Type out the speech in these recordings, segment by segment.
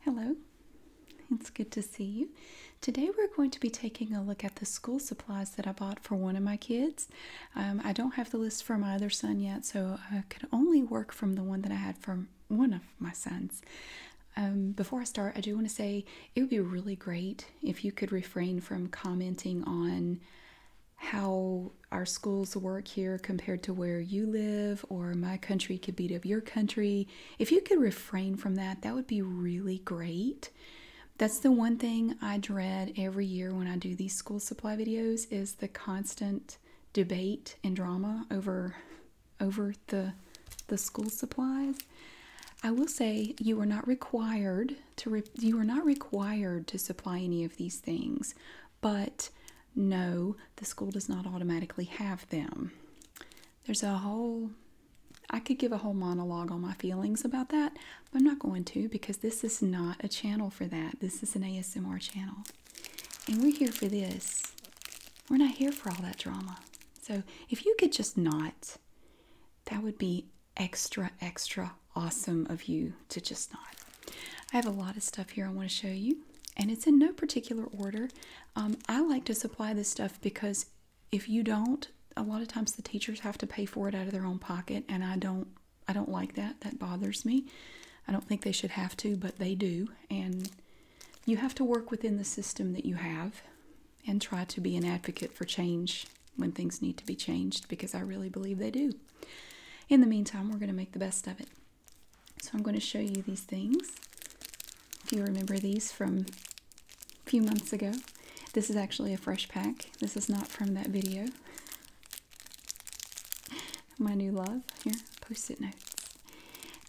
Hello, it's good to see you. Today we're going to be taking a look at the school supplies that I bought for one of my kids. Um, I don't have the list for my other son yet, so I could only work from the one that I had from one of my sons. Um, before I start, I do want to say it would be really great if you could refrain from commenting on how our schools work here compared to where you live, or my country could be to your country. If you could refrain from that, that would be really great. That's the one thing I dread every year when I do these school supply videos is the constant debate and drama over over the the school supplies. I will say you are not required to you are not required to supply any of these things but no, the school does not automatically have them. There's a whole, I could give a whole monologue on my feelings about that, but I'm not going to because this is not a channel for that. This is an ASMR channel. And we're here for this. We're not here for all that drama. So if you could just not, that would be extra, extra awesome of you to just not. I have a lot of stuff here I want to show you and it's in no particular order. Um, I like to supply this stuff because if you don't, a lot of times the teachers have to pay for it out of their own pocket, and I don't. I don't like that. That bothers me. I don't think they should have to, but they do, and you have to work within the system that you have and try to be an advocate for change when things need to be changed because I really believe they do. In the meantime, we're going to make the best of it. So I'm going to show you these things. If you remember these from a few months ago, this is actually a fresh pack. This is not from that video. My new love here, post-it notes.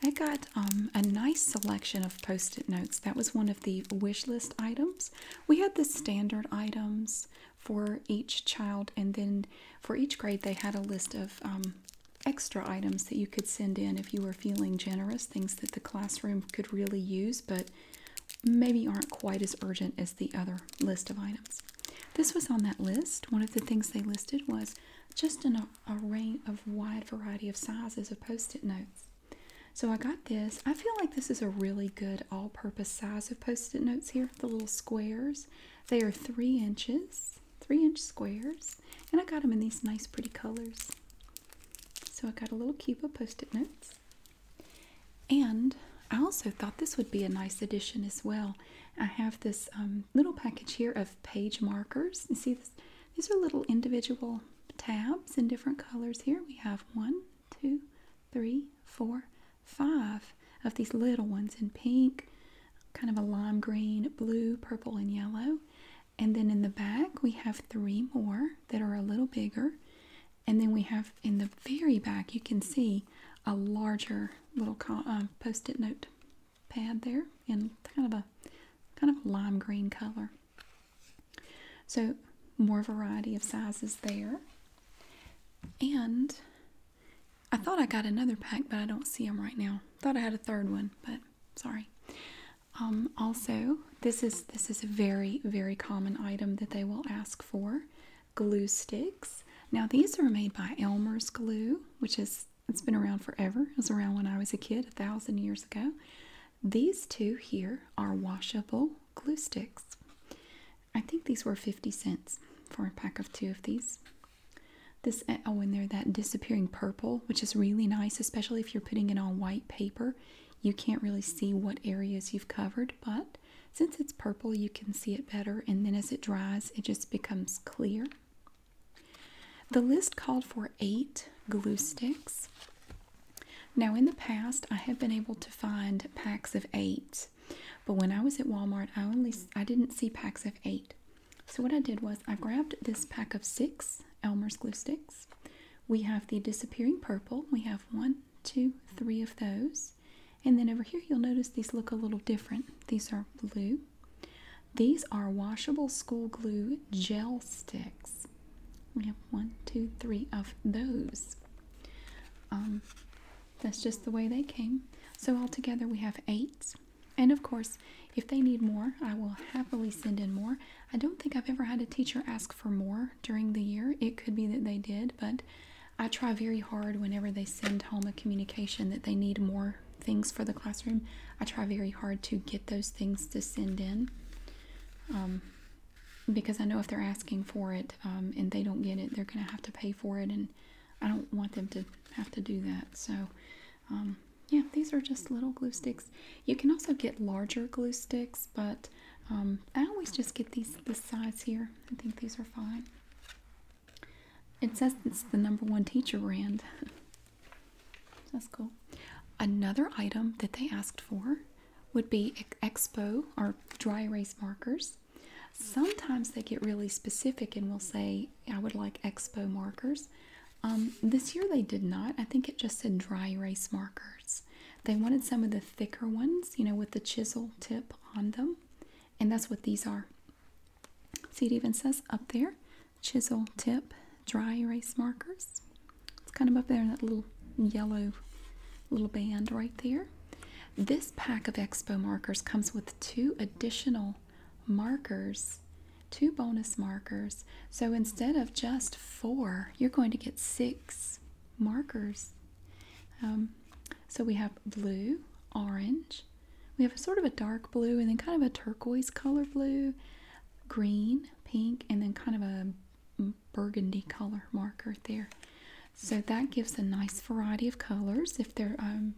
I got um, a nice selection of post-it notes. That was one of the wish list items. We had the standard items for each child, and then for each grade, they had a list of um, extra items that you could send in if you were feeling generous, things that the classroom could really use but maybe aren't quite as urgent as the other list of items. This was on that list. One of the things they listed was just an, a range of wide variety of sizes of post-it notes. So I got this. I feel like this is a really good all-purpose size of post-it notes here, the little squares. They are three inches, three inch squares. And I got them in these nice pretty colors. So I got a little cube of post-it notes. And I also thought this would be a nice addition as well. I have this um, little package here of page markers. You see, this, these are little individual tabs in different colors here. We have one, two, three, four, five of these little ones in pink, kind of a lime green, blue, purple, and yellow. And then in the back, we have three more that are a little bigger. And then we have in the very back, you can see a larger little uh, post-it note pad there in kind of a kind of a lime green color. So more variety of sizes there. And I thought I got another pack, but I don't see them right now. Thought I had a third one, but sorry. Um, also, this is this is a very very common item that they will ask for, glue sticks. Now these are made by Elmer's glue, which is it's been around forever. It was around when I was a kid, a thousand years ago. These two here are washable glue sticks. I think these were 50 cents for a pack of two of these. This eh, oh, and they're that disappearing purple, which is really nice, especially if you're putting it on white paper. You can't really see what areas you've covered, but since it's purple, you can see it better. And then as it dries, it just becomes clear. The list called for eight glue sticks. Now, in the past, I have been able to find packs of eight, but when I was at Walmart, I only I didn't see packs of eight. So what I did was I grabbed this pack of six Elmer's glue sticks. We have the disappearing purple. We have one, two, three of those. And then over here you'll notice these look a little different. These are blue. These are washable school glue gel sticks. We have one, two, three of those. Um, that's just the way they came. So altogether we have eight. And of course, if they need more, I will happily send in more. I don't think I've ever had a teacher ask for more during the year. It could be that they did, but I try very hard whenever they send home a communication that they need more things for the classroom. I try very hard to get those things to send in um, because I know if they're asking for it um, and they don't get it, they're going to have to pay for it and I don't want them to have to do that. So, um, yeah, these are just little glue sticks. You can also get larger glue sticks, but um, I always just get these this size here. I think these are fine. It says it's the number one teacher brand. That's cool. Another item that they asked for would be Expo or dry erase markers. Sometimes they get really specific and will say I would like Expo markers. Um, this year they did not. I think it just said dry erase markers. They wanted some of the thicker ones, you know, with the chisel tip on them. And that's what these are. See, it even says up there chisel tip dry erase markers. It's kind of up there in that little yellow little band right there. This pack of Expo markers comes with two additional markers, two bonus markers. So instead of just four, you're going to get six markers. Um, so we have blue, orange. We have a sort of a dark blue and then kind of a turquoise color blue, green, pink, and then kind of a burgundy color marker there. So that gives a nice variety of colors if they're um,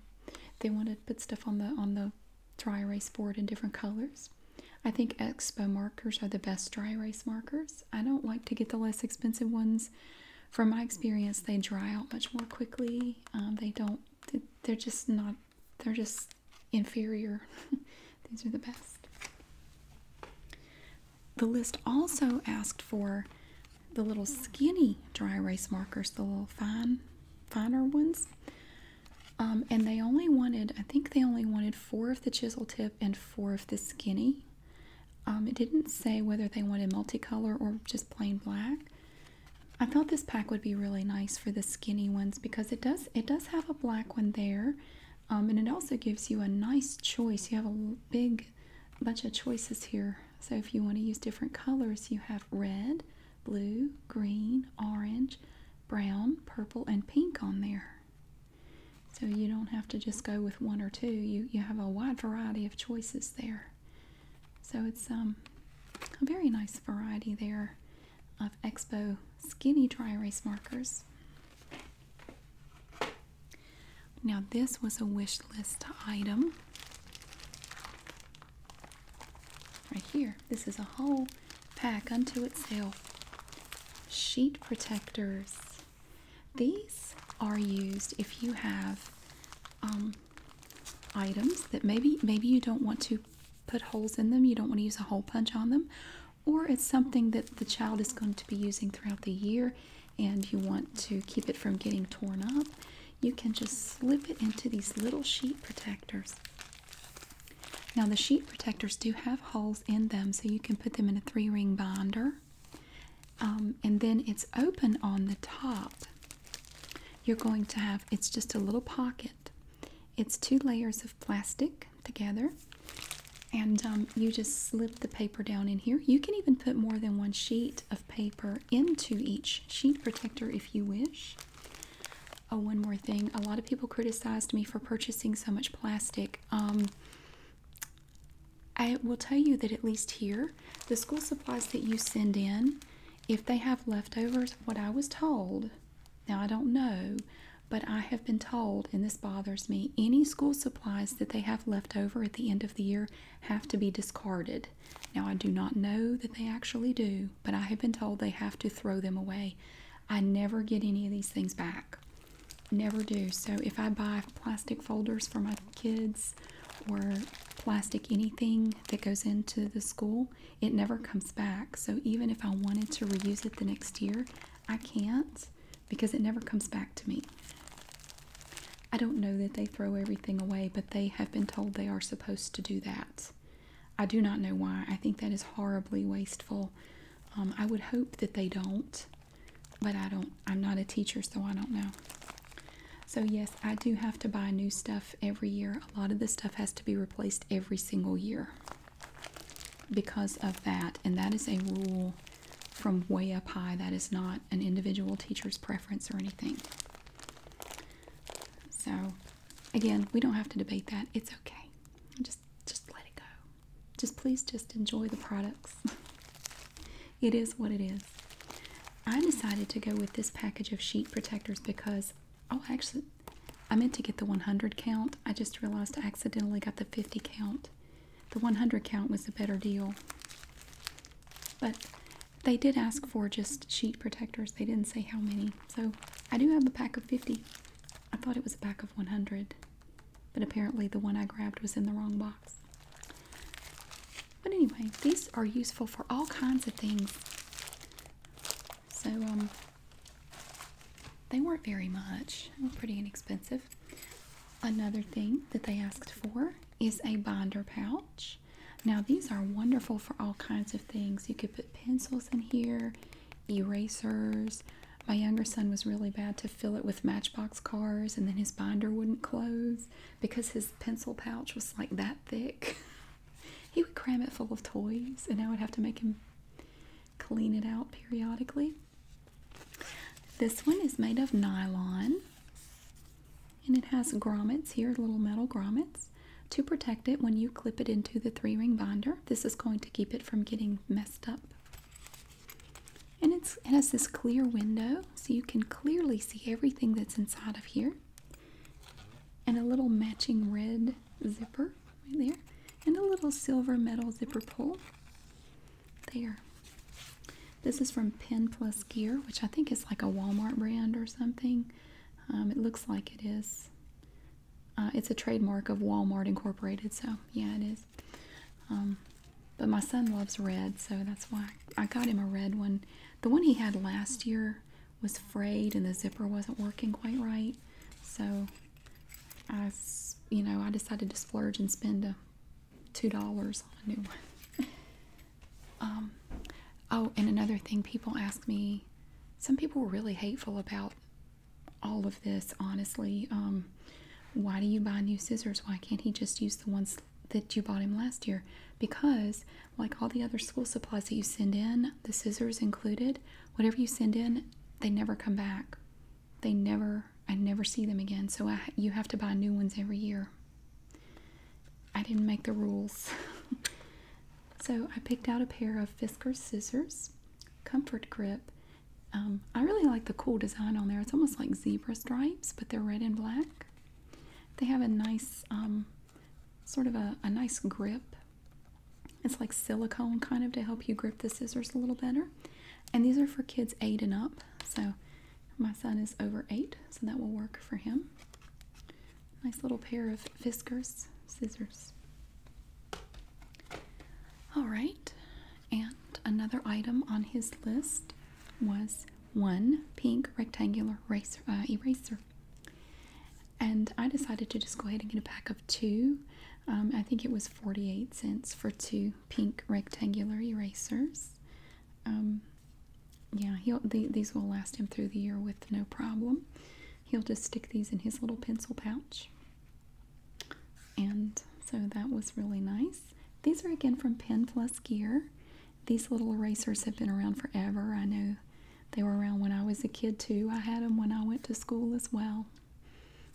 they want to put stuff on the on the dry erase board in different colors. I think Expo markers are the best dry erase markers. I don't like to get the less expensive ones. From my experience, they dry out much more quickly. Um, they don't, they're just not, they're just inferior. These are the best. The list also asked for the little skinny dry erase markers, the little fan finer ones. Um, and they only wanted, I think they only wanted four of the chisel tip and four of the skinny. Um, it didn't say whether they wanted multicolor or just plain black. I thought this pack would be really nice for the skinny ones because it does it does have a black one there, um, and it also gives you a nice choice. You have a big bunch of choices here. So if you want to use different colors, you have red, blue, green, orange, brown, purple, and pink on there. So you don't have to just go with one or two. You, you have a wide variety of choices there. So it's um, a very nice variety there of Expo Skinny Dry Erase Markers. Now this was a wish list item. Right here, this is a whole pack unto itself. Sheet protectors. These are used if you have um, items that maybe maybe you don't want to put holes in them. You don't want to use a hole punch on them, or it's something that the child is going to be using throughout the year, and you want to keep it from getting torn up you can just slip it into these little sheet protectors. Now the sheet protectors do have holes in them so you can put them in a three ring binder um, and then it's open on the top. You're going to have, it's just a little pocket. It's two layers of plastic together and um, you just slip the paper down in here. You can even put more than one sheet of paper into each sheet protector if you wish. Oh, one more thing. A lot of people criticized me for purchasing so much plastic. Um, I will tell you that at least here, the school supplies that you send in, if they have leftovers, what I was told, now I don't know, but I have been told, and this bothers me, any school supplies that they have left over at the end of the year have to be discarded. Now, I do not know that they actually do, but I have been told they have to throw them away. I never get any of these things back. Never do. So, if I buy plastic folders for my kids or plastic anything that goes into the school, it never comes back. So, even if I wanted to reuse it the next year, I can't because it never comes back to me. I don't know that they throw everything away, but they have been told they are supposed to do that. I do not know why. I think that is horribly wasteful. Um, I would hope that they don't, but I don't. I'm not a teacher, so I don't know. So, yes, I do have to buy new stuff every year. A lot of this stuff has to be replaced every single year because of that. And that is a rule from way up high. That is not an individual teacher's preference or anything. So, again, we don't have to debate that. It's okay. Just just let it go. Just please just enjoy the products. it is what it is. I decided to go with this package of sheet protectors because oh, actually I meant to get the 100 count. I just realized I accidentally got the 50 count. The 100 count was a better deal. But they did ask for just sheet protectors. They didn't say how many. So I do have a pack of 50. I thought it was a pack of 100, but apparently the one I grabbed was in the wrong box. But anyway, these are useful for all kinds of things. So, um, they weren't very much, pretty inexpensive. Another thing that they asked for is a binder pouch. Now these are wonderful for all kinds of things. You could put pencils in here, erasers. My younger son was really bad to fill it with matchbox cars and then his binder wouldn't close because his pencil pouch was like that thick. he would cram it full of toys and I would have to make him clean it out periodically. This one is made of nylon. And it has grommets here, little metal grommets, to protect it when you clip it into the three ring binder. This is going to keep it from getting messed up. And it has this clear window, so you can clearly see everything that's inside of here. And a little matching red zipper right there. And a little silver metal zipper pull. There. This is from Pen Plus Gear, which I think is like a Walmart brand or something. Um, it looks like it is. Uh, it's a trademark of Walmart Incorporated, so yeah, it is. Um, but my son loves red, so that's why I got him a red one. The one he had last year was frayed, and the zipper wasn't working quite right. So I, you know, I decided to splurge and spend a two dollars on a new one. Um, oh, and another thing, people ask me. Some people were really hateful about all of this. Honestly, um, why do you buy new scissors? Why can't he just use the ones that you bought him last year? Because, like all the other school supplies that you send in, the scissors included, whatever you send in, they never come back. They never. I never see them again. So you have to buy new ones every year. I didn't make the rules. So I picked out a pair of Fisker scissors, comfort grip. Um, I really like the cool design on there. It's almost like zebra stripes, but they're red and black. They have a nice, um, sort of a nice grip. It's like silicone kind of to help you grip the scissors a little better. And these are for kids eight and up. So my son is over eight, so that will work for him. Nice little pair of Fiskars scissors. All right, and another item on his list was one pink rectangular eraser, uh, And I decided to just go ahead and get a pack of two. Um, I think it was 48 cents for two pink rectangular erasers. Um, yeah, he'll these will last him through the year with no problem. He'll just stick these in his little pencil pouch. And so that was really nice. These are again from Pen Plus Gear. These little erasers have been around forever. I know they were around when I was a kid too. I had them when I went to school as well.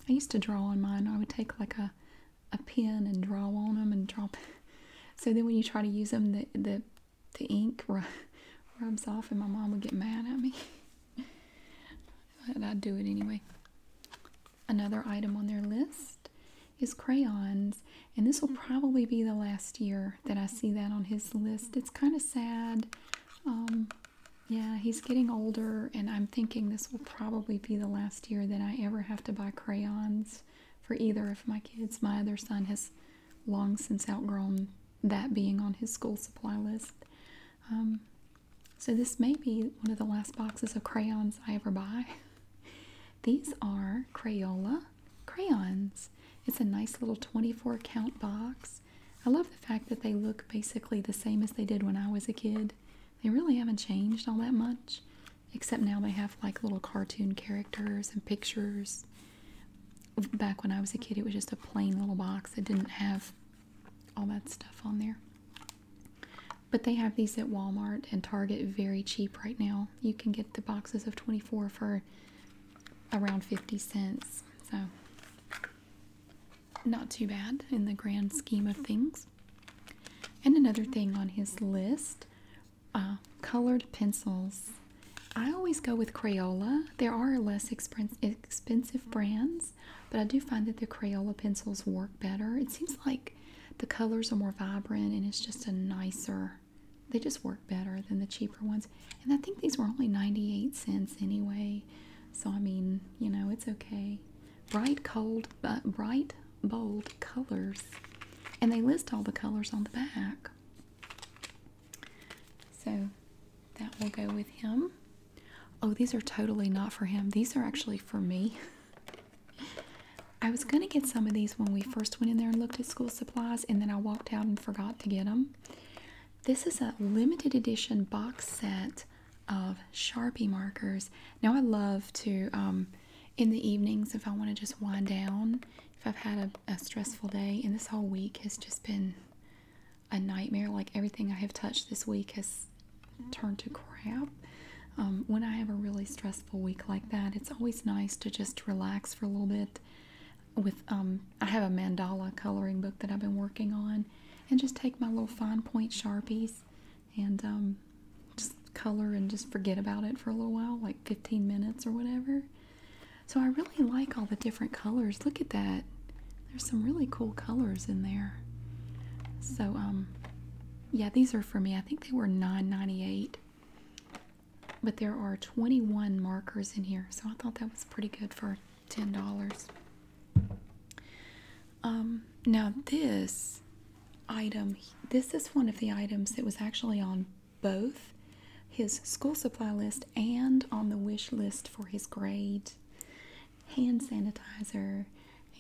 I used to draw on mine. I would take like a, a pen and draw on them and drop. so then when you try to use them, the, the the ink rubs off, and my mom would get mad at me. but I'd do it anyway. Another item on their list is crayons, and this will probably be the last year that I see that on his list. It's kind of sad. Um, yeah, he's getting older, and I'm thinking this will probably be the last year that I ever have to buy crayons for either of my kids. My other son has long since outgrown that being on his school supply list. Um, so, this may be one of the last boxes of crayons I ever buy. These are Crayola crayons. It's a nice little 24 count box. I love the fact that they look basically the same as they did when I was a kid. They really haven't changed all that much, except now they have like little cartoon characters and pictures Back when I was a kid, it was just a plain little box that didn't have all that stuff on there. But they have these at Walmart and Target very cheap right now. You can get the boxes of 24 for around 50 cents. So, not too bad in the grand scheme of things. And another thing on his list uh, colored pencils. I always go with Crayola. There are less expensive brands, but I do find that the Crayola pencils work better. It seems like the colors are more vibrant and it's just a nicer, they just work better than the cheaper ones. And I think these were only 98 cents anyway. So, I mean, you know, it's okay. Bright, cold, but bright, bold colors. And they list all the colors on the back. So that will go with him. Oh, these are totally not for him. These are actually for me. I was going to get some of these when we first went in there and looked at school supplies, and then I walked out and forgot to get them. This is a limited edition box set of Sharpie markers. Now, I love to, um, in the evenings, if I want to just wind down if I've had a, stressful day, and this whole week has just been a nightmare. Like everything I have touched this week has turned to crap. Um, when I have a really stressful week like that, it's always nice to just relax for a little bit. With um, I have a mandala coloring book that I've been working on, and just take my little fine point sharpies and um, just color and just forget about it for a little while, like 15 minutes or whatever. So I really like all the different colors. Look at that. There's some really cool colors in there. So um yeah, these are for me. I think they were 9.98. But there are 21 markers in here. So I thought that was pretty good for $10. Um now this item this is one of the items that was actually on both his school supply list and on the wish list for his grade hand sanitizer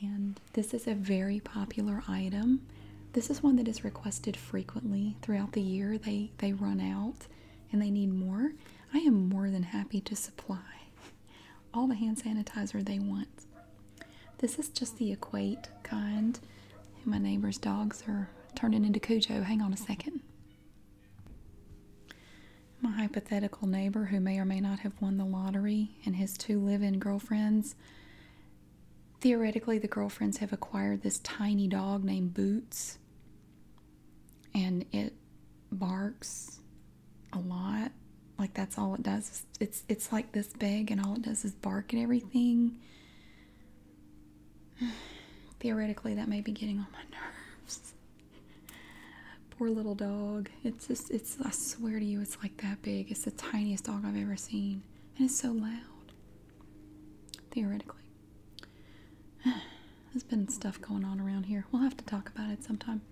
and this is a very popular item this is one that is requested frequently throughout the year they they run out and they need more i am more than happy to supply all the hand sanitizer they want this is just the equate kind my neighbor's dogs are turning into Cujo. Hang on a second. My hypothetical neighbor, who may or may not have won the lottery, and his two live in girlfriends. Theoretically, the girlfriends have acquired this tiny dog named Boots, and it barks a lot. Like that's all it does. It's it's like this big, and all it does is bark at everything. Theoretically, that may be getting on my nerves. Poor little dog. It's just, it's, I swear to you, it's like that big. It's the tiniest dog I've ever seen. And it's so loud. Theoretically. There's been stuff going on around here. We'll have to talk about it sometime.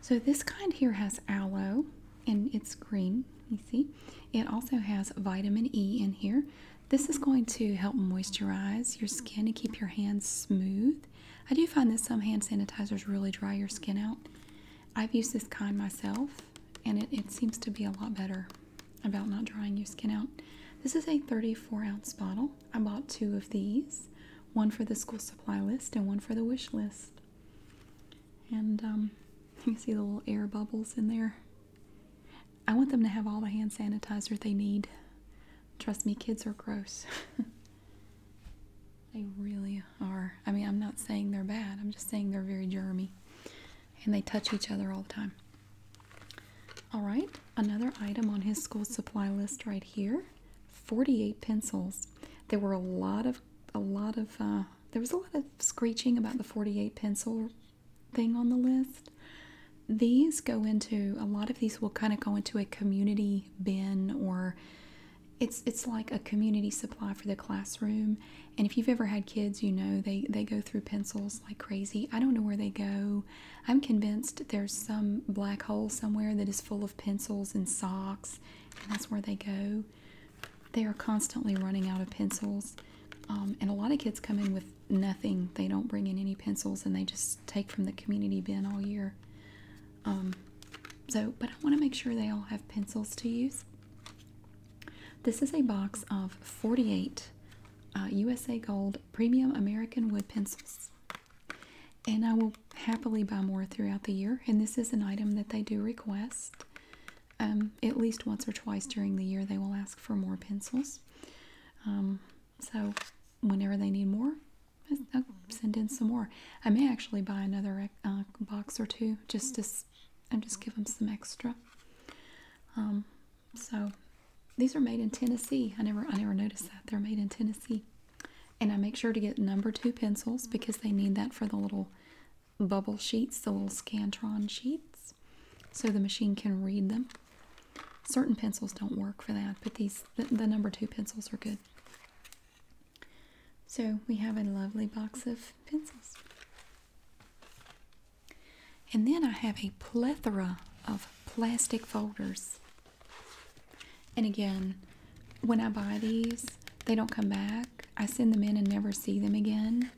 So this kind here has aloe and it's green, you see. It also has vitamin E in here, this is going to help moisturize your skin and keep your hands smooth. I do find that some hand sanitizers really dry your skin out. I've used this kind myself, and it, seems to be a lot better about not drying your skin out. This is a 34 ounce bottle. I bought two of these one for the school supply list and one for the wish list. And um, you can see the little air bubbles in there. I want them to have all the hand sanitizer they need. Trust me, kids are gross. they really are. I mean, I'm not saying they're bad, I'm just saying they're very germy and they touch each other all the time. All right, another item on his school supply list right here 48 pencils. There were a lot of, a lot of, uh, there was a lot of screeching about the 48 pencil thing on the list. These go into a lot of these will kind of go into a community bin or it's it's like a community supply for the classroom. And if you've ever had kids, you know they they go through pencils like crazy. I don't know where they go. I'm convinced there's some black hole somewhere that is full of pencils and socks, and that's where they go. They are constantly running out of pencils. Um, and a lot of kids come in with nothing. They don't bring in any pencils and they just take from the community bin all year. Um, so, but I want to make sure they all have pencils to use. This is a box of 48 USA uh, Gold Premium American Wood Pencils. And I will happily buy more throughout the year. And this is an item that they do request. Um, at least once or twice during the year they will ask for more pencils um, so whenever they need more I'll uh, send in some more i may actually buy another uh, box or two just to just give them some extra um, so these are made in tennessee i never i never noticed that they're made in tennessee and i make sure to get number two pencils because they need that for the little bubble sheets the little scantron sheets so the machine can read them. Certain pencils don't work for that, but these the number two pencils are good. So we have a lovely box of pencils. And then I have a plethora of plastic folders. And again, when I buy these, they don't come back. I send them in and never see them again.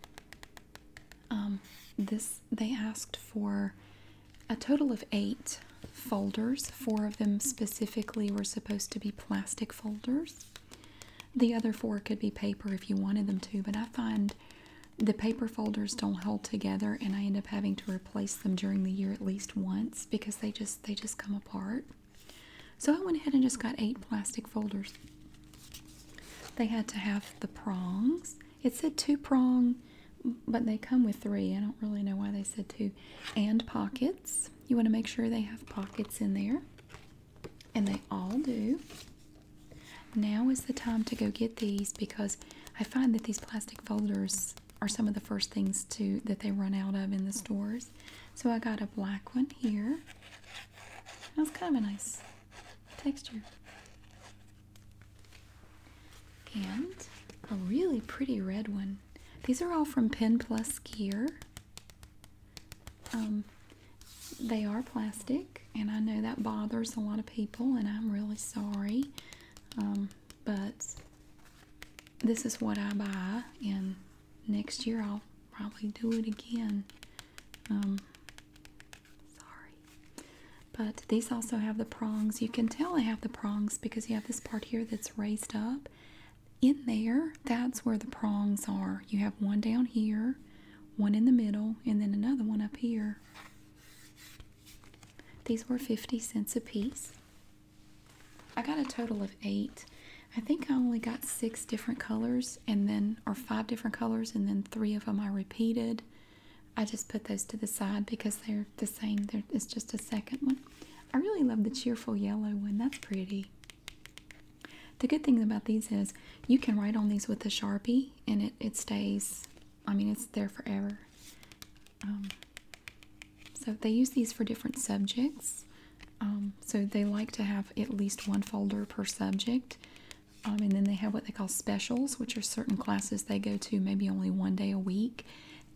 Um, this they asked for a total of eight folders. Four of them specifically were supposed to be plastic folders. The other four could be paper if you wanted them to, but I find the paper folders don't hold together and I end up having to replace them during the year at least once because they just they just come apart. So I went ahead and just got eight plastic folders. They had to have the prongs. It said two prong, but they come with three. I don't really know why they said two. And pockets. You want to make sure they have pockets in there. And they all do. Now is the time to go get these because I find that these plastic folders are some of the first things to that they run out of in the stores. So I got a black one here. That's kind of a nice texture. And a really pretty red one. These are all from Pen Plus Gear. Um, they are plastic, and I know that bothers a lot of people, and I'm really sorry. Um, but this is what I buy, and next year I'll probably do it again. Um, Sorry. But these also have the prongs. You can tell I have the prongs because you have this part here that's raised up. In there, that's where the prongs are. You have one down here, one in the middle, and then another one up here. These were 50 cents a piece. I got a total of eight. I think I only got six different colors and then or five different colors and then three of them are repeated i just put those to the side because they're the same There is just a second one i really love the cheerful yellow one that's pretty the good thing about these is you can write on these with a sharpie and it, it stays i mean it's there forever um, so they use these for different subjects um, so they like to have at least one folder per subject um, and then they have what they call specials, which are certain classes they go to maybe only one day a week.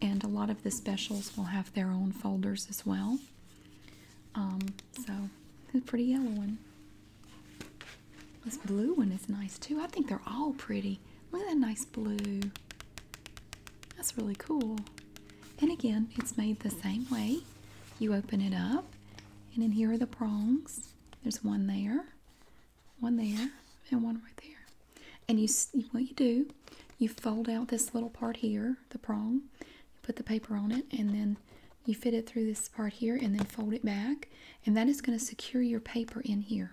And a lot of the specials will have their own folders as well. Um, so, the pretty yellow one. This blue one is nice too. I think they're all pretty. Look at that nice blue. That's really cool. And again, it's made the same way. You open it up, and then here are the prongs. There's one there, one there, and one right there. And you, what you do, you fold out this little part here, the prong. You put the paper on it, and then you fit it through this part here, and then fold it back. And that is going to secure your paper in here.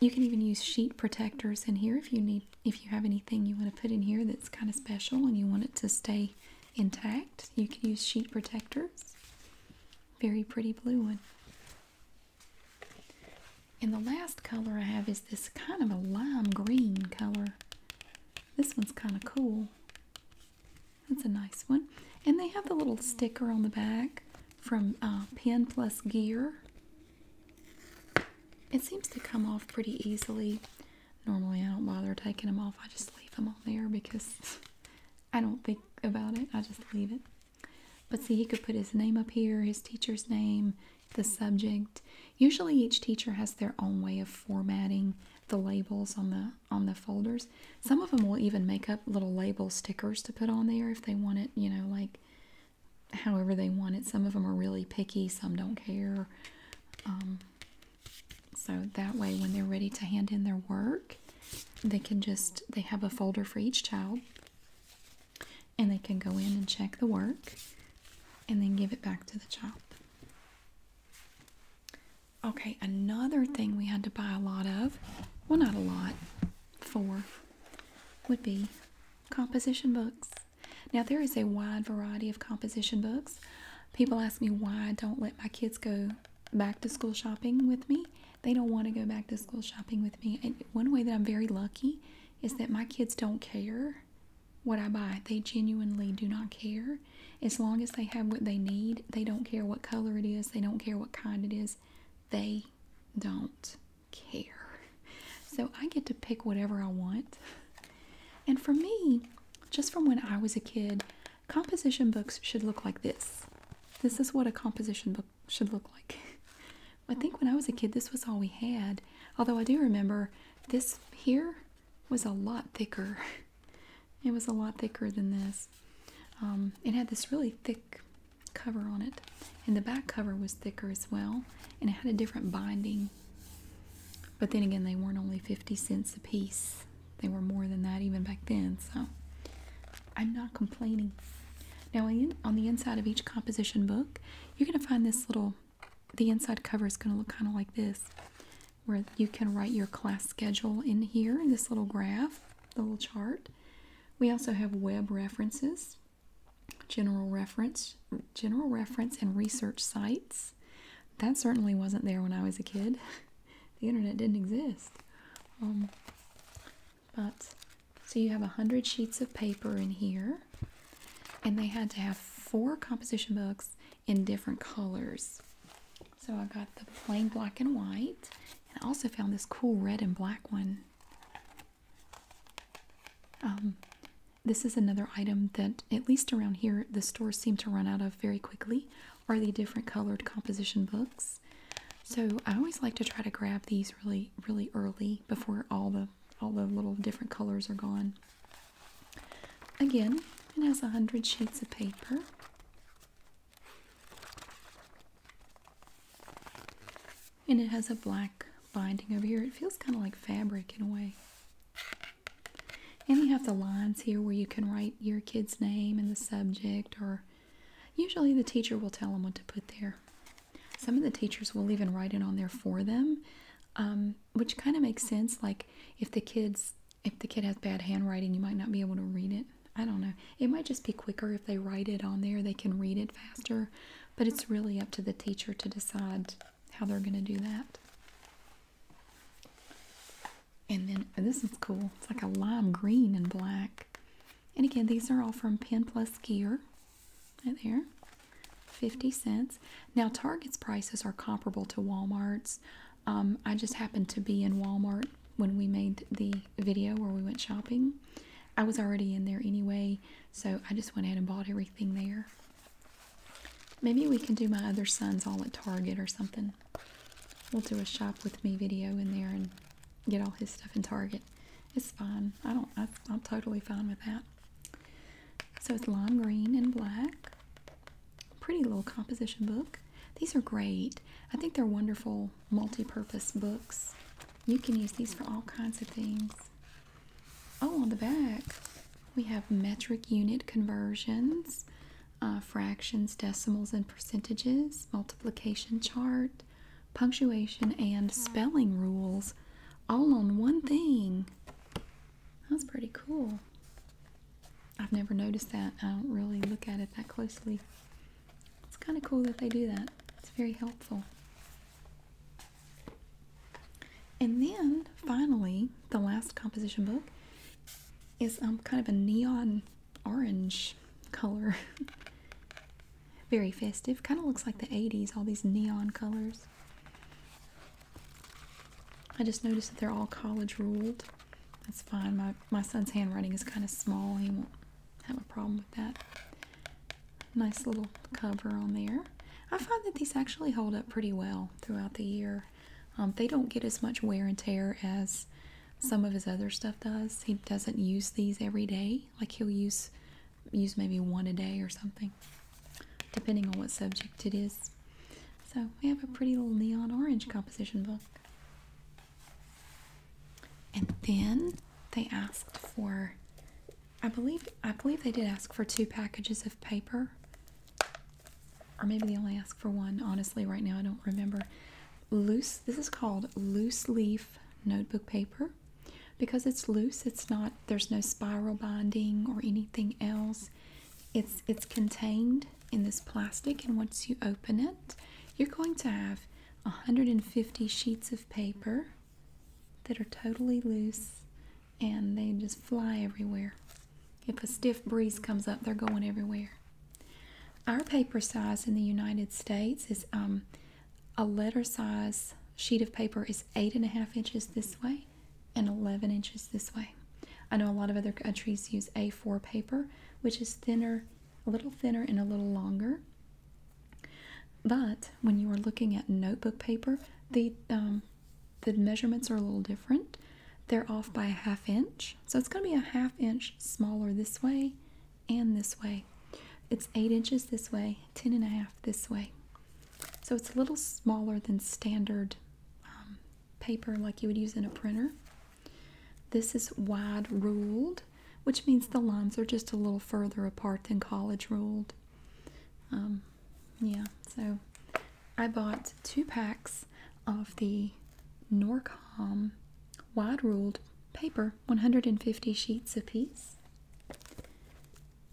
You can even use sheet protectors in here if you need if you have anything you want to put in here that's kind of special and you want it to stay intact. You can use sheet protectors. Very pretty blue one. And the last color I have is this kind of a lime green color. This one's kind of cool. That's a nice one. And they have the little sticker on the back from uh, Pen Plus Gear. It seems to come off pretty easily normally I don't bother taking them off. I just leave them on there because I don't think about it. I just leave it. But see, he could put his name up here, his teacher's name, the subject. Usually each teacher has their own way of formatting the labels on the on the folders. Some of them will even make up little label stickers to put on there if they want it, you know, like however they want it. Some of them are really picky, some don't care. Um, so that way when they're ready to hand in their work, they can just they have a folder for each child and they can go in and check the work and then give it back to the child. Okay, another thing we had to buy a lot of, well not a lot, four would be composition books. Now, there is a wide variety of composition books. People ask me why I don't let my kids go back to school shopping with me. They don't want to go back to school shopping with me. And one way that I'm very lucky is that my kids don't care what I buy. They genuinely do not care. As long as they have what they need, they don't care what color it is, they don't care what kind it is. They don't care. So I get to pick whatever I want. And for me, just from when I was a kid, Composition books should look like this. This is what a composition book should look like. I think when I was a kid, this was all we had. Although I do remember this here was a lot thicker. It was a lot thicker than this. Um, it had this really thick cover on it, and the back cover was thicker as well, and it had a different binding. But then again, they weren't only 50 cents a piece. They were more than that even back then, so I'm not complaining. Now, on the inside of each composition book, you're going to find this little, the inside cover is going to look kind of like this, where you can write your class schedule in here in this little graph, the little chart. We also have web references, general reference, general reference and research sites. That certainly wasn't there when I was a kid. the internet didn't exist. Um, but so you have a hundred sheets of paper in here, and they had to have four composition books in different colors. So I got the plain black and white, and I also found this cool red and black one. Um, this is another item that, at least around here, the stores seem to run out of very quickly are the different colored composition books. So I always like to try to grab these really, really early before all the all the little different colors are gone. Again, it has a hundred sheets of paper. And it has a black binding over here. It feels kind of like fabric in a way. And you have the lines here where you can write your kid's name and the subject, or usually the teacher will tell them what to put there. Some of the teachers will even write it on there for them, um, which kind of makes sense. Like if the kids, if the kid has bad handwriting, you might not be able to read it. I don't know. It might just be quicker if they write it on there. They can read it faster, but it's really up to the teacher to decide how they're going to do that. And then this is cool. It's like a lime green and black. And again, these are all from Pen Plus Gear. Right there. 50 cents. Now, Target's prices are comparable to Walmart's. Um, I just happened to be in Walmart when we made the video where we went shopping. I was already in there anyway, so I just went ahead and bought everything there. Maybe we can do my other sons all at Target or something we'll do a shop with me video in there and get all his stuff in Target. It's fine. I don't. I'm totally fine with that. So it's lime green and black. Pretty little composition book. These are great. I think they're wonderful multi-purpose books. You can use these for all kinds of things. Oh, on the back we have metric unit conversions uh, fractions, decimals, and percentages, multiplication chart, punctuation, and spelling rules all on one thing. That's pretty cool. I've never noticed that. I don't really look at it that closely. It's kind of cool that they do that. It's very helpful. And then, finally, the last composition book is um, kind of a neon orange color. Very festive. Kind of looks like the 80s, all these neon colors. I just noticed that they're all college ruled. That's fine. My, my son's handwriting is kind of small. He won't have a problem with that. Nice little cover on there. I find that these actually hold up pretty well throughout the year. Um, they don't get as much wear and tear as some of his other stuff does. He doesn't use these every day. Like he'll use use maybe one a day or something, depending on what subject it is. So we have a pretty little neon orange composition book. And then they asked for I believe I believe they did ask for two packages of paper or maybe they only ask for one. Honestly, right now I don't remember. Loose, this is called loose leaf notebook paper because it's loose. It's not, there's no spiral binding or anything else. It's, it's contained in this plastic, and once you open it, you're going to have 150 sheets of paper that are totally loose and they just fly everywhere. If a stiff breeze comes up, they're going everywhere. Our paper size in the United States is um, a letter size sheet of paper is eight and a half inches this way and 11 inches this way. I know a lot of other countries use A4 paper, which is thinner, a little thinner and a little longer. But when you are looking at notebook paper, the um, the measurements are a little different they're off by a half inch. So it's going to be a half inch smaller this way and this way. It's 8 inches this way, ten and a half this way. So it's a little smaller than standard um, paper like you would use in a printer. This is wide ruled, which means the lines are just a little further apart than college ruled. Um, yeah, so I bought two packs of the Norcom wide ruled paper, 150 sheets a piece.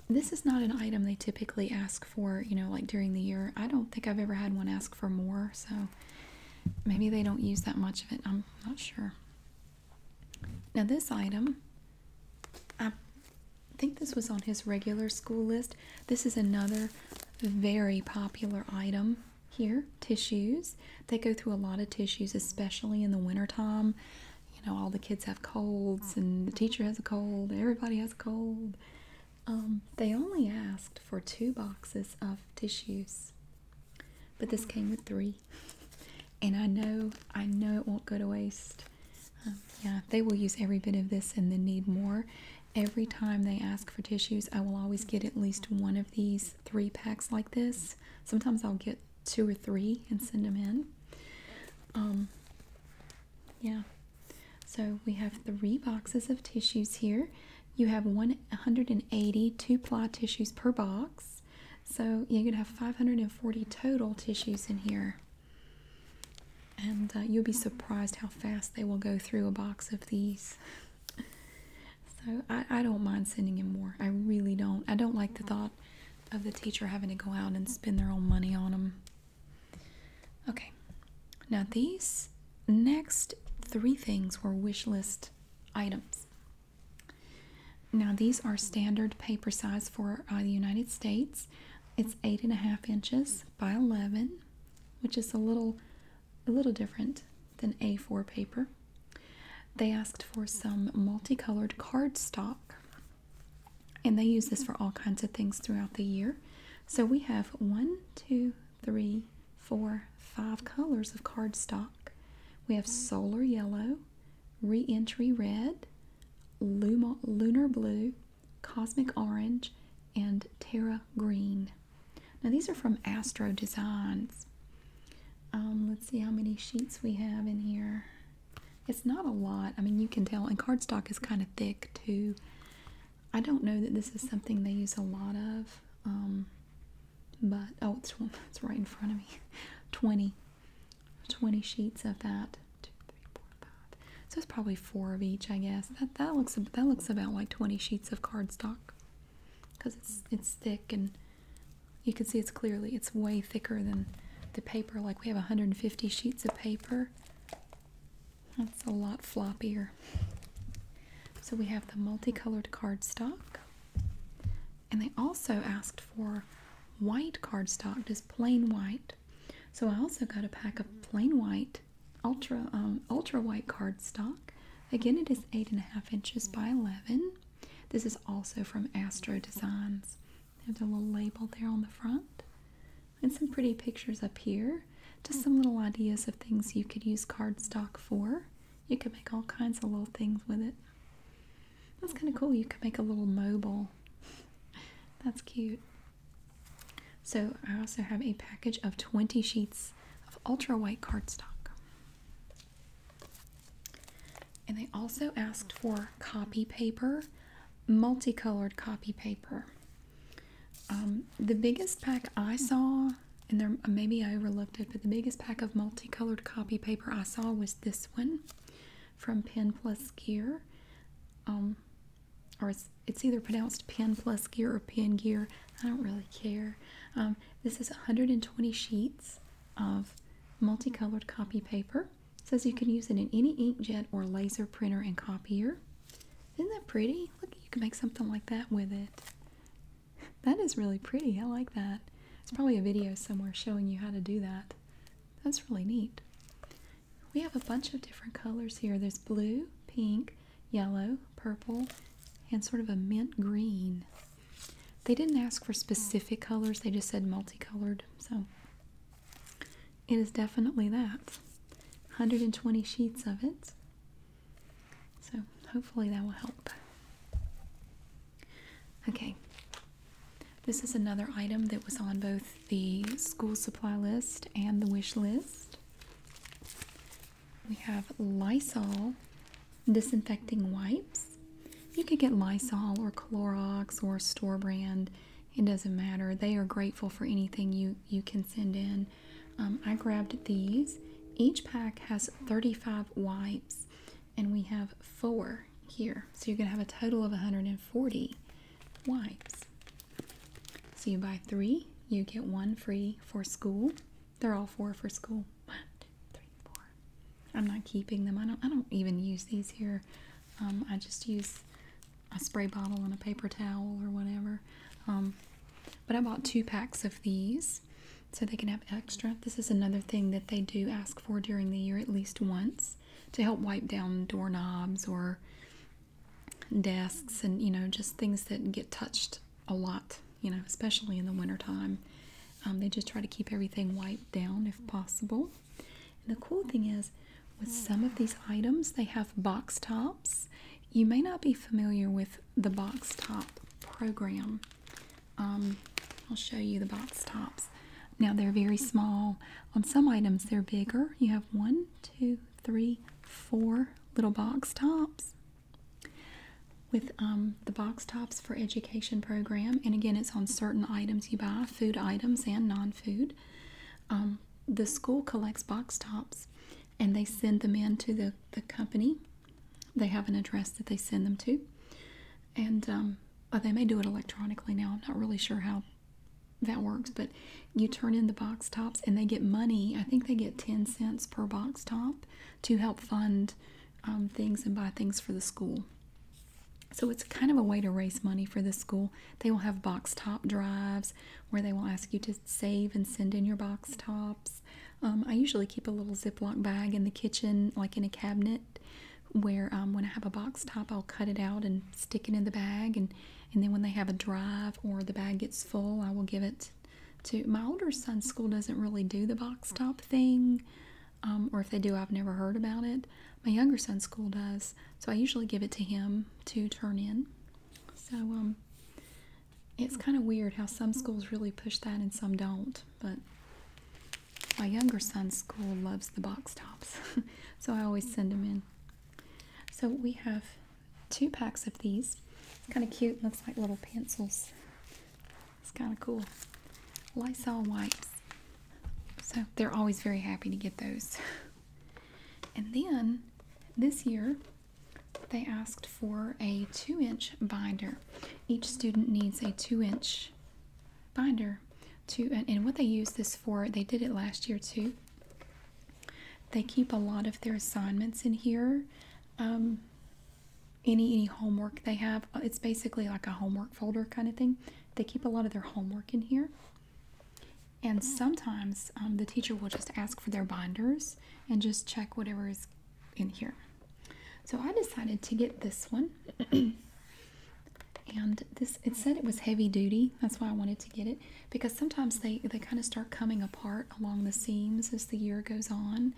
This is not an item they typically ask for, you know, like during the year. I don't think I've ever had one ask for more, so maybe they don't use that much of it. I'm not sure. Now, this item, I think this was on his regular school list. This is another very popular item here tissues. They go through a lot of tissues, especially in the wintertime. You know, all the kids have colds, and the teacher has a cold, everybody has a cold. Um, they only asked for two boxes of tissues, but this came with three. And I know, I know it won't go to waste. Um, yeah, they will use every bit of this and then need more. Every time they ask for tissues, I will always get at least one of these three packs like this. Sometimes I'll get two or three and send them in. Um, yeah. So we have three boxes of tissues here. You have one hundred and eighty two ply tissues per box. So you're going to have 540 total tissues in here. And uh, you'll be surprised how fast they will go through a box of these. So I, don't mind sending him more. I really don't. I don't like the thought of the teacher having to go out and spend their own money on them. Okay, now these next three things were wish list items. Now these are standard paper size for uh, the United States. It's eight and a half inches by 11, which is a little a little different than A4 paper. They asked for some multicolored cardstock, and they use this for all kinds of things throughout the year. So we have one, two, three, four, five colors of cardstock. We have solar yellow, reentry red, lunar blue, cosmic orange, and terra green. Now these are from Astro Designs. Um, let's see how many sheets we have in here. It's not a lot. I mean, you can tell. And cardstock is kind of thick too. I don't know that this is something they use a lot of. Um, but, oh, it's, right in front of me. 20. sheets of that. So it's probably four of each, I guess. That that looks that looks about like 20 sheets of cardstock because it's it's thick and you can see it's clearly it's way thicker than the paper. Like we have 150 sheets of paper. That's a lot floppier. So we have the multicolored cardstock, and they also asked for white cardstock, just plain white. So I also got a pack of plain white ultra um, ultra white cardstock. Again, it is eight and a half inches by eleven. This is also from Astro Designs. They have the little label there on the front, and some pretty pictures up here. Just some little ideas of things you could use cardstock for. You could make all kinds of little things with it. That's kind of cool. You could make a little mobile. That's cute. So I also have a package of 20 sheets of ultra white cardstock. And they also asked for copy paper, multicolored copy paper. Um, the biggest pack I saw, and there maybe I overlooked it, but the biggest pack of multicolored copy paper I saw was this one from Pen Plus Gear. Um, or it's, either pronounced "pen plus gear or "pen gear. I don't really care. Um, this is 120 sheets of multicolored copy paper. says you can use it in any inkjet or laser printer and copier. Isn't that pretty? Look, you can make something like that with it. That is really pretty. I like that. It's probably a video somewhere showing you how to do that. That's really neat. We have a bunch of different colors here. There's blue, pink, yellow, purple, and sort of a mint green. They didn't ask for specific colors, they just said multicolored. So it is definitely that. 120 sheets of it. So hopefully that will help. Okay. This is another item that was on both the school supply list and the wish list. We have Lysol disinfecting wipes. You could get Lysol or Clorox or store brand. It doesn't matter. They are grateful for anything you, you can send in. Um, I grabbed these. Each pack has 35 wipes, and we have four here. So you're going to have a total of 140 wipes. So you buy three, you get one free for school. They're all four for school. two, three, four. I'm not keeping them. I don't. I don't even use these here. Um, I just use a spray bottle and a paper towel or whatever. Um, but I bought two packs of these so they can have extra. This is another thing that they do ask for during the year at least once to help wipe down doorknobs or desks and you know just things that get touched a lot you know especially in the wintertime um, they just try to keep everything wiped down if possible and the cool thing is with some of these items they have box tops you may not be familiar with the box top program um, i'll show you the box tops now they're very small on some items they're bigger you have one two three, four little box tops with um, the box tops for education program. And again, it's on certain items you buy, food items and non-food. Um, the school collects box tops and they send them in to the, the company. They have an address that they send them to. And um, oh, they may do it electronically now. I'm not really sure how that works, but you turn in the box tops and they get money. I think they get 10 cents per box top to help fund um, things and buy things for the school. So it's kind of a way to raise money for the school. They will have box top drives where they will ask you to save and send in your box tops. Um, I usually keep a little Ziploc bag in the kitchen, like in a cabinet, where um, when I have a box top, I'll cut it out and stick it in the bag. And, and then when they have a drive or the bag gets full, I will give it to my older son's school doesn't really do the box top thing um, or if they do I've never heard about it my younger son's school does so I usually give it to him to turn in so um, it's kind of weird how some schools really push that and some don't but my younger son's school loves the box tops so I always send them in so we have two packs of these. Kind of cute. Looks like little pencils. It's kind of cool. Lysol wipes. So they're always very happy to get those. And then this year, they asked for a two inch binder. Each student needs a two inch binder to, and what they use this for, they did it last year too, they keep a lot of their assignments in here. Um, any any homework they have, uh, it's basically like a homework folder kind of thing. They keep a lot of their homework in here. And sometimes um, the teacher will just ask for their binders and just check whatever is in here. So I decided to get this one. and this it said it was heavy duty. That's why I wanted to get it because sometimes they, they kind of start coming apart along the seams as the year goes on.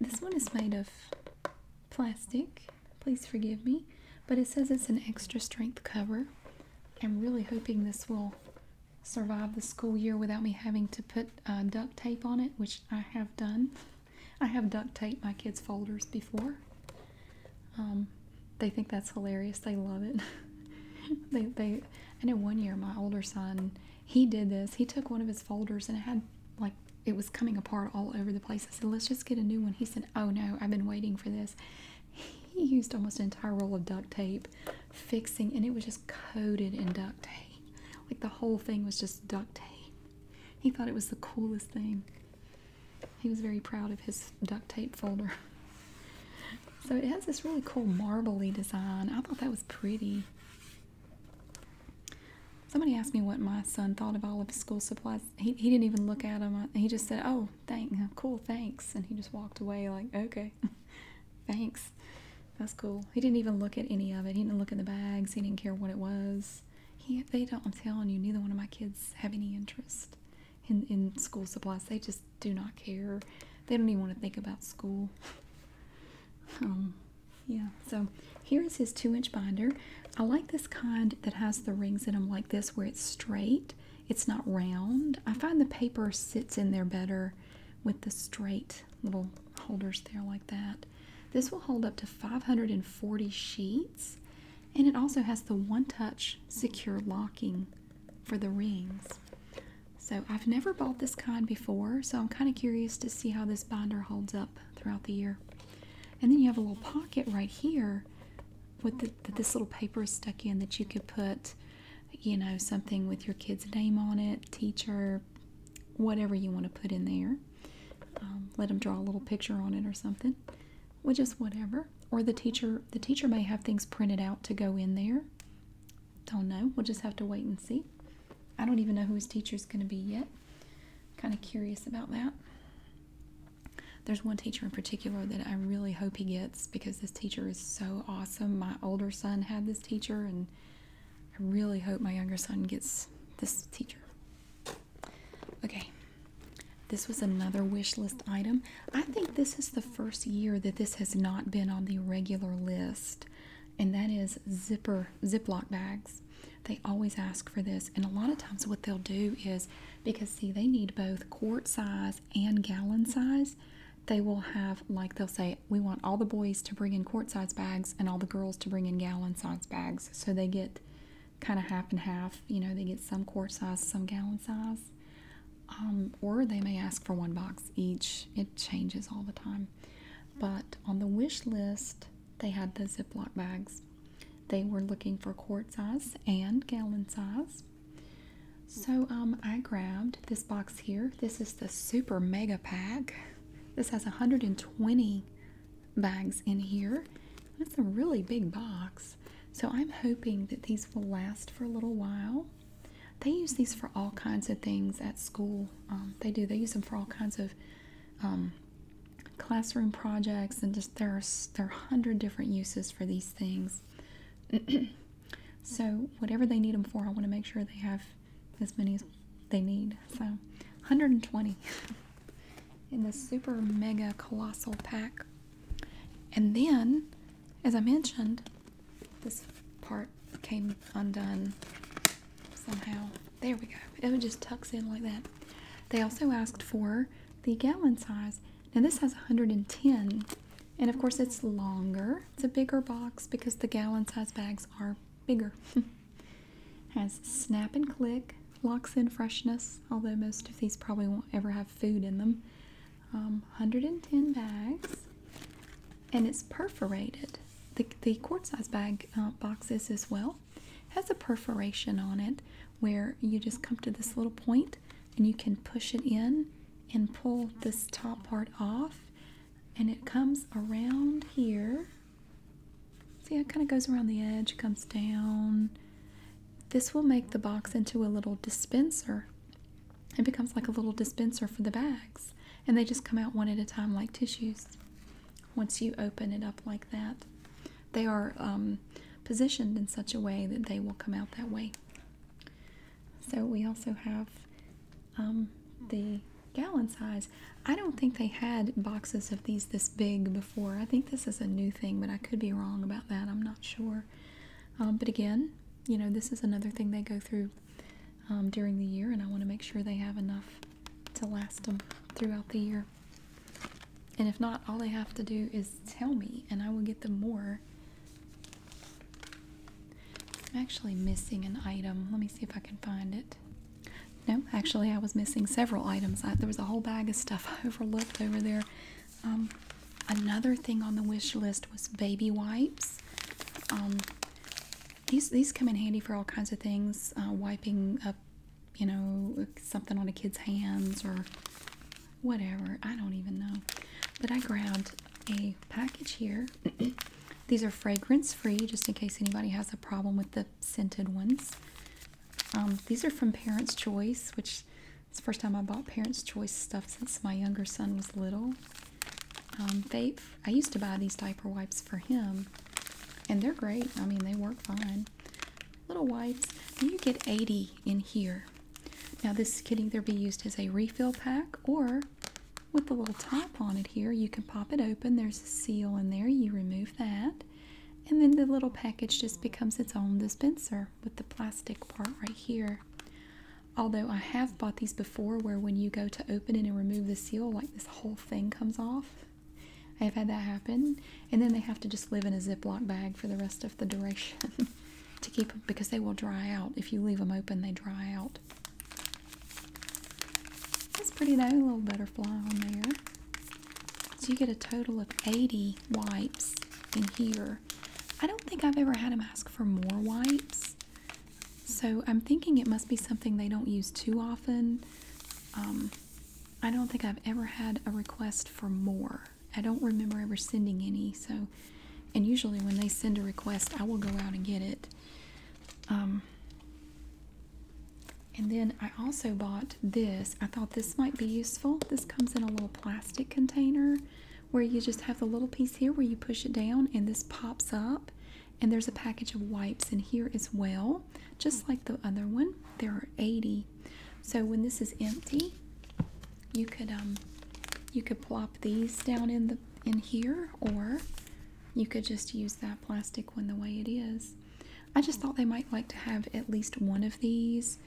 This one is made of plastic, please forgive me, but it says it's an extra strength cover. I'm really hoping this will survive the school year without me having to put uh, duct tape on it, which I have done. I have duct taped my kids' folders before. Um, they think that's hilarious. They love it. they, they, I know one year my older son, he did this. He took one of his folders and it had like it was coming apart all over the place. I said, let's just get a new one. He said, oh no, I've been waiting for this. He used almost an entire roll of duct tape fixing, and it was just coated in duct tape. Like the whole thing was just duct tape. He thought it was the coolest thing. He was very proud of his duct tape folder. So it has this really cool marbly design. I thought that was pretty. Somebody asked me what my son thought of all of his school supplies. He, he didn't even look at them. He just said, oh, thank, cool, thanks. And he just walked away like, okay, thanks. That's cool. He didn't even look at any of it. He didn't look at the bags. He didn't care what it was. He, they don't, I'm telling you, neither one of my kids have any interest in, in school supplies. They just do not care. They don't even want to think about school. um, yeah, so here is his two inch binder. I like this kind that has the rings in them like this, where it's straight, it's not round. I find the paper sits in there better with the straight little holders there, like that. This will hold up to 540 sheets, and it also has the one touch secure locking for the rings. So I've never bought this kind before, so I'm kind of curious to see how this binder holds up throughout the year. And then you have a little pocket right here with this little paper stuck in that you could put, you know, something with your kid's name on it, teacher, whatever you want to put in there. Um, let them draw a little picture on it or something, which is whatever. Or the teacher, the teacher may have things printed out to go in there. Don't know. We'll just have to wait and see. I don't even know who his teacher is going to be yet. Kind of curious about that. There's one teacher in particular that I really hope he gets because this teacher is so awesome. My older son had this teacher, and I really hope my younger son gets this teacher. Okay, this was another wish list item. I think this is the first year that this has not been on the regular list, and that is zipper Ziploc bags. They always ask for this, and a lot of times what they'll do is because see they need both quart size and gallon size. They will have like they'll say we want all the boys to bring in quart size bags and all the girls to bring in gallon size bags, so they get kind of half and half. You know they get some quart size, some gallon size. Um, or they may ask for one box each. It changes all the time. But on the wish list, they had the Ziploc bags. They were looking for quart size and gallon size. So um, I grabbed this box here. This is the super mega pack. This has 120 bags in here. That's a really big box. So I'm hoping that these will last for a little while. They use these for all kinds of things at school. Um, they do. They use them for all kinds of um, classroom projects, and just there are there are hundred different uses for these things. so whatever they need them for, I want to make sure they have as many as they need. So 120 in the super mega colossal pack, and then as I mentioned, this part came undone somehow. There we go. It just tucks in like that. They also asked for the gallon size. Now this has 110 and of course it's longer. It's a bigger box because the gallon size bags are bigger. has snap and click, locks in freshness, although most of these probably won't ever have food in them. 110 um, bags, and it's perforated. The, the quart size bag uh, boxes as well has a perforation on it where you just come to this little point and you can push it in and pull this top part off and it comes around here see it kind of goes around the edge comes down this will make the box into a little dispenser it becomes like a little dispenser for the bags, and they just come out one at a time like tissues once you open it up like that. They are um, positioned in such a way that they will come out that way. So we also have um, the gallon size. I don't think they had boxes of these this big before. I think this is a new thing, but I could be wrong about that. I'm not sure. Um, but again, you know, this is another thing they go through um, during the year, and I want to make sure they have enough to last them throughout the year. And if not, all they have to do is tell me, and I will get them more. I'm actually missing an item. Let me see if I can find it. No, actually, I was missing several items. there was a whole bag of stuff I overlooked over there. Um, Another thing on the wish list was baby wipes. Um, these these come in handy for all kinds of things. Uh, wiping up, you know, something on a kid's hands or whatever. I don't even know. But I grabbed a package here. these are fragrance free, just in case anybody has a problem with the scented ones. Um, these are from Parents' Choice, which it's the first time I bought Parents' Choice stuff since my younger son was little. Um, Faith, I used to buy these diaper wipes for him, and they're great. I mean, they work fine. Little wipes. you get 80 in here. Now, this can either be used as a refill pack or with the little top on it here, you can pop it open. There's a seal in there. You remove that. And then the little package just becomes its own dispenser with the plastic part right here. Although I have bought these before where when you go to open it and remove the seal, like this whole thing comes off. I have had that happen. And then they have to just live in a Ziploc bag for the rest of the duration to keep them because they will dry out. If you leave them open, they dry out. That's pretty though, little butterfly on there. So you get a total of 80 wipes in here. I don't think I've ever had them ask for more wipes. So I'm thinking it must be something they don't use too often. Um, I don't think I've ever had a request for more. I don't remember ever sending any. So, and usually when they send a request, I will go out and get it. Um, and then I also bought this. I thought this might be useful. This comes in a little plastic container where you just have the little piece here where you push it down and this pops up. And there's a package of wipes in here as well, just like the other one. There are 80. So when this is empty, you could um you could plop these down in the in here or you could just use that plastic one the way it is. I just thought they might like to have at least one of these.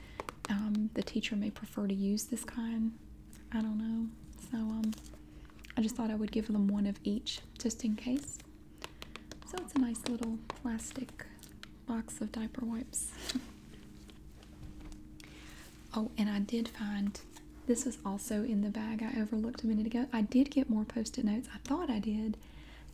Um, the teacher may prefer to use this kind I don't know. So um, I just thought I would give them one of each just in case. So it's a nice little plastic box of diaper wipes. oh, and I did find this was also in the bag I overlooked a minute ago. I did get more post it notes. I thought I did.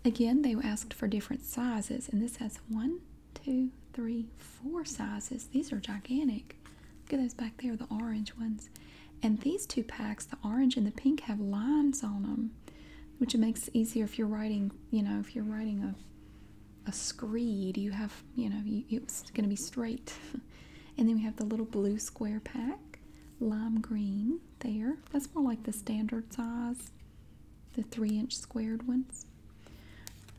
Again, they asked for different sizes, and this has one, two, three, four sizes. These are gigantic. Look at those back there, the orange ones. And these two packs, the orange and the pink, have lines on them, which makes it easier if you're writing, you know, if you're writing a a screed, you have, you know, you, it's going to be straight. and then we have the little blue square pack, lime green there. That's more like the standard size, the three inch squared ones.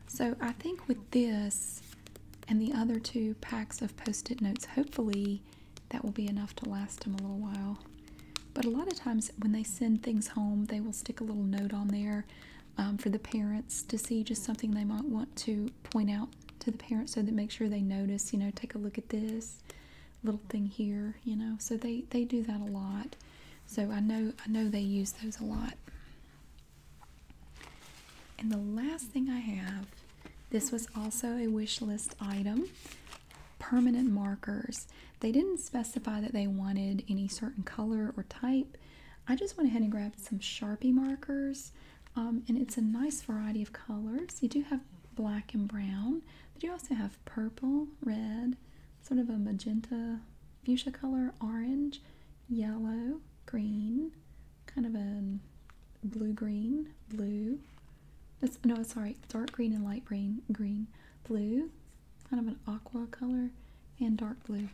So I think with this and the other two packs of post-it notes, hopefully that will be enough to last them a little while. But a lot of times when they send things home, they will stick a little note on there um, for the parents to see just something they might want to point out to the parents so that make sure they notice, you know, take a look at this little thing here, you know. So they, they do that a lot. So I know I know they use those a lot. And the last thing I have, this was also a wish list item permanent markers. They didn't specify that they wanted any certain color or type. I just went ahead and grabbed some Sharpie markers, um, and it's a nice variety of colors. You do have black and brown, but you also have purple, red, sort of a magenta, fuchsia color, orange, yellow, green, kind of a blue green, blue. It's, no, sorry, dark green and light green, green, blue, kind of an aqua color, and dark blue.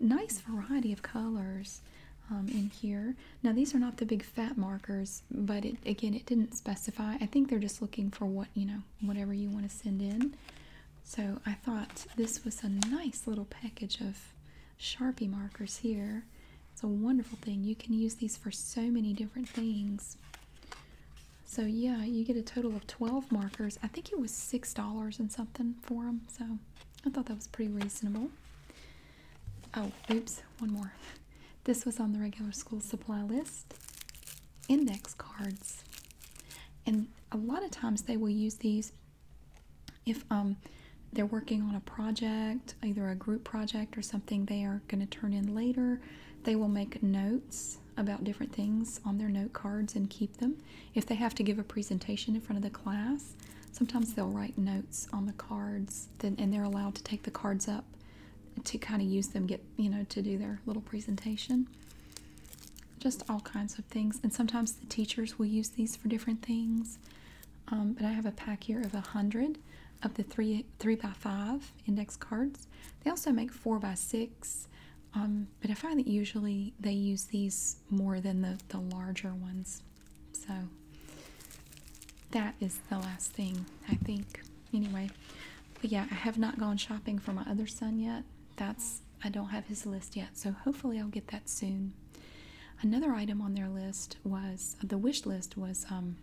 Nice variety of colors um, in here. Now these are not the big fat markers, but again, it didn't specify. I think they're just looking for what, you know, whatever you want to send in. So I thought this was a nice little package of Sharpie markers here. It's a wonderful thing. You can use these for so many different things. So yeah, you get a total of 12 markers. I think it was $6 and something for them. So I thought that was pretty reasonable. Oh, oops, one more. This was on the regular school supply list. Index cards. And a lot of times they will use these if um, they're working on a project, either a group project or something they are going to turn in later, they will make notes about different things on their note cards and keep them. If they have to give a presentation in front of the class, sometimes they'll write notes on the cards then, and they're allowed to take the cards up to kind of use them get you know to do their little presentation just all kinds of things. And sometimes the teachers will use these for different things. Um, but I have a pack here of a 100 of the 3 three by 5 index cards. They also make 4 by 6 um, but I find that usually they use these more than the, the larger ones. So that is the last thing, I think. Anyway, but yeah, I have not gone shopping for my other son yet. That's I don't have his list yet, so hopefully I'll get that soon. Another item on their list was the wish list was um,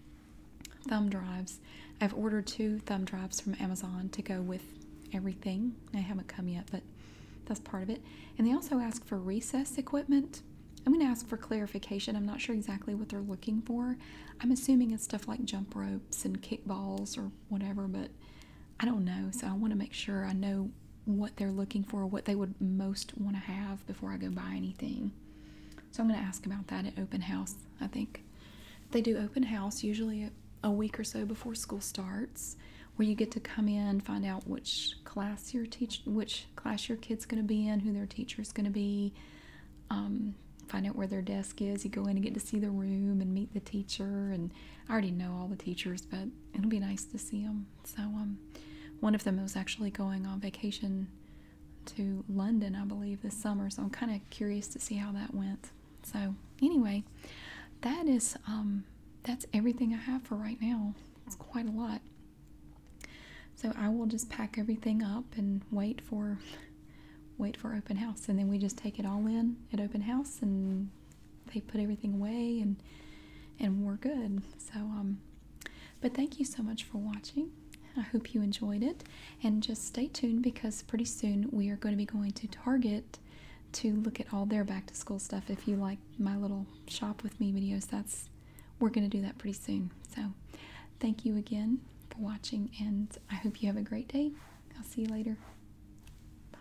thumb drives. I've ordered two thumb drives from Amazon to go with everything. They haven't come yet, but that's part of it. And they also asked for recess equipment. I'm going to ask for clarification. I'm not sure exactly what they're looking for. I'm assuming it's stuff like jump ropes and kick balls or whatever, but I don't know, so I want to make sure I know what they're looking for, what they would most want to have before I go buy anything. So I'm going to ask about that at open house, I think. They do open house usually a week or so before school starts, where you get to come in, find out which class your teach which class your kid's going to be in, who their teacher is going to be. Um, find out where their desk is. You go in and get to see the room and meet the teacher. And I already know all the teachers, but it'll be nice to see them. So um, one of them was actually going on vacation to London, I believe, this summer. So I'm kind of curious to see how that went. So anyway, that is um, that's everything I have for right now. It's quite a lot. So I will just pack everything up and wait for wait for open house and then we just take it all in at open house and they put everything away and and we're good. So um but thank you so much for watching. I hope you enjoyed it and just stay tuned because pretty soon we are going to be going to Target to look at all their back to school stuff. If you like my little shop with me videos, that's we're going to do that pretty soon. So, thank you again for watching and I hope you have a great day. I'll see you later. Bye.